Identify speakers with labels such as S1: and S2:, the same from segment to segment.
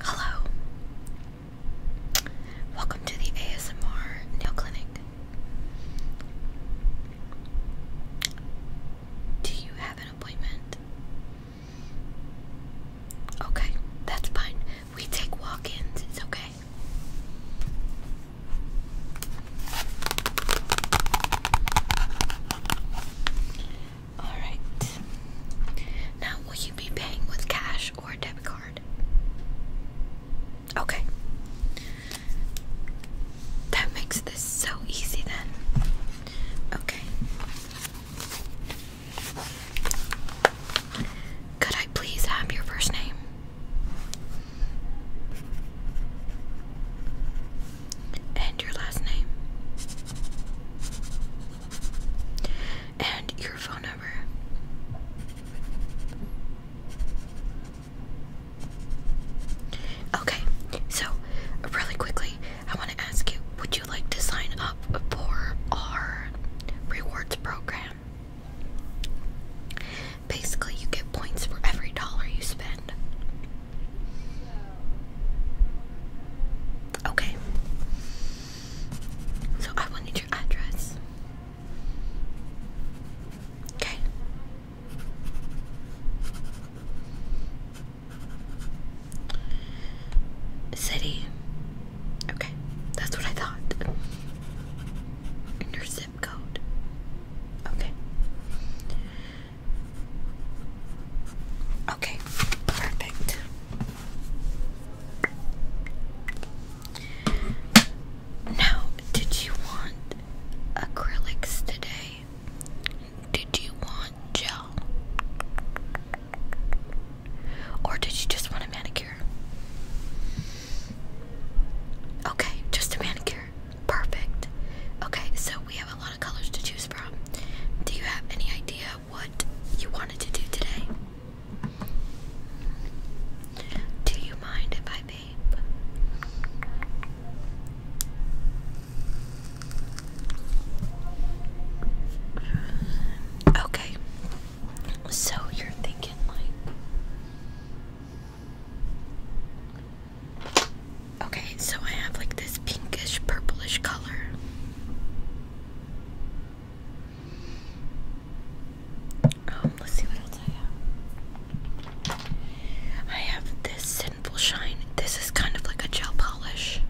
S1: Hello. Welcome to the ASMR Nail Clinic. Do you have an appointment? Okay, that's fine. We take walk ins, it's okay. Alright. Now, will you be paying with cash or a debit card? Okay. That makes this so easy then. Okay. Could I please have your first name? and your last name and your phone number. Okay, so really quickly, I want to ask you would you like to sign up for our rewards program? Basically, you get points for every dollar you spend. Okay. So I will your address. Okay. City. Okay, that's what I thought. And your zip code. Okay. Okay, perfect. Now, did you want acrylics today? Did you want gel? Or did you just want a manicure? Okay, just a manicure. Perfect. Okay, so we have a lot of colors to choose from. Do you have any idea what you wanted to do today? Do you mind if I vape? Okay, so you're thinking like Okay, so I have like this pinkish purplish color. Um, let's see what I have. I have this sinful shine. This is kind of like a gel polish.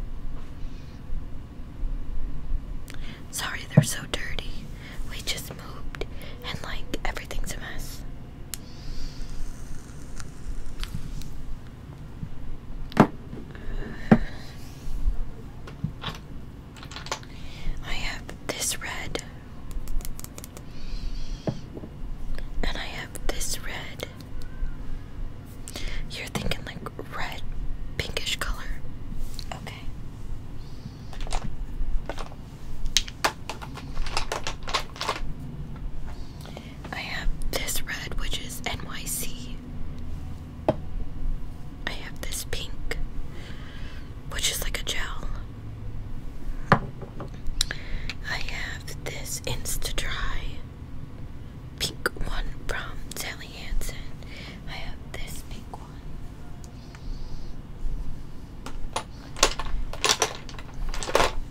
S1: Sorry, they're so dirty. We just moved and like everything's a mess. I have this red, and I have this red. You're thinking like red, pinkish color. Okay. I have this red, which is NYC. I have this pink, which is like a gel. I have this Insta Dry pink one from Sally Hansen. I have this pink one.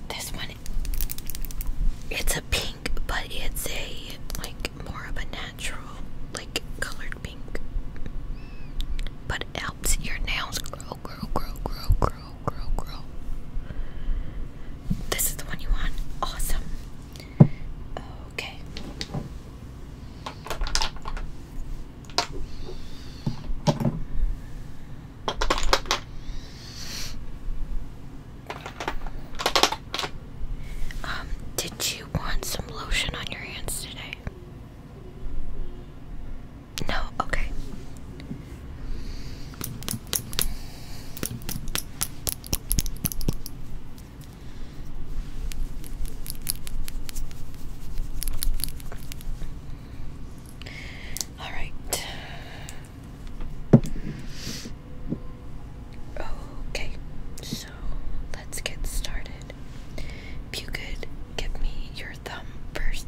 S1: This one, it's a pink, but it's a like more of a natural, like colored pink. But helps your nails grow, grow, grow, grow, grow, grow, grow. This is the one you want. Awesome. Oh, Okay. Um, did you want some lotion on your hands today? No, okay. All right. Okay, so let's get started. If give me your thumb first.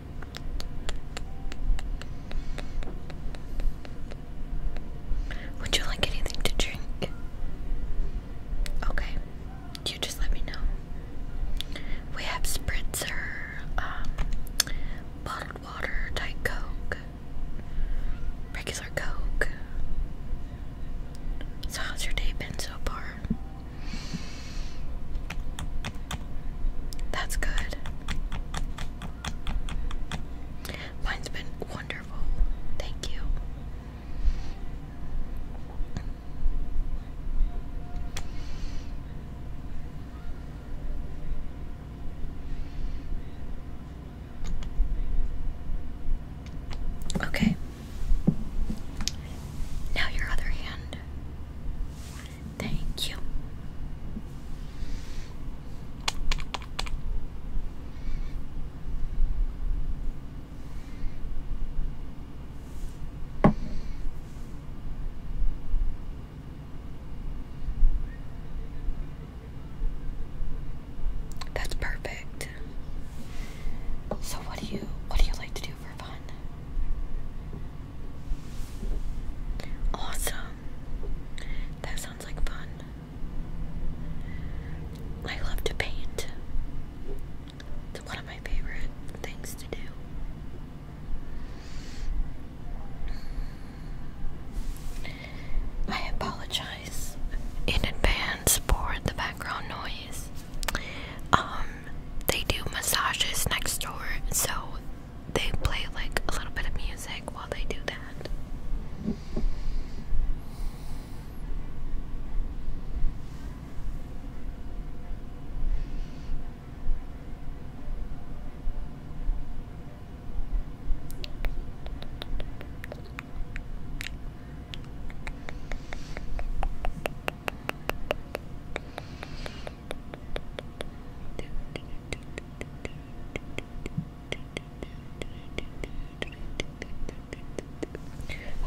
S1: Would you like anything to drink? Okay, you just let me know. We have spritzer, um, bottled water, Diet Coke, regular Coke. So, how's your day been so far? That's good. Mine's been wonderful. Thank you. Okay, now your other hand. Thank you. That's perfect. So what do you what do you like to do for fun? Awesome. That sounds like fun. I love to paint. It's one of my favorite things to do. I apologize apologize in advance for the background noise. Um, they do massages next door, so they play like a little bit of music while they do that.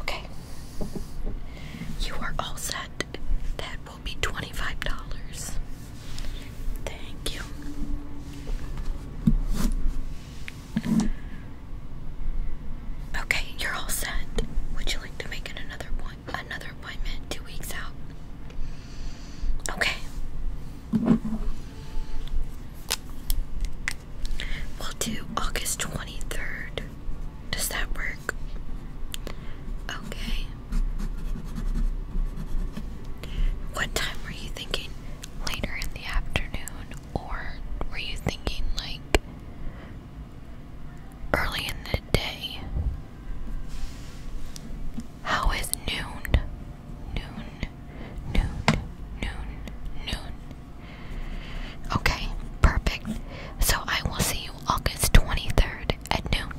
S1: Okay. You are all set. That will be $25. Thank you. Okay, you're all set. Would you like to make it another point, another appointment two weeks out? Okay. We'll do August 23rd. Does that work? Okay. What time were you thinking? later in the afternoon, or were you thinking like early in the day? How is noon? Noon, noon, noon, noon. Okay, perfect. So I will see you August 23rd at noon.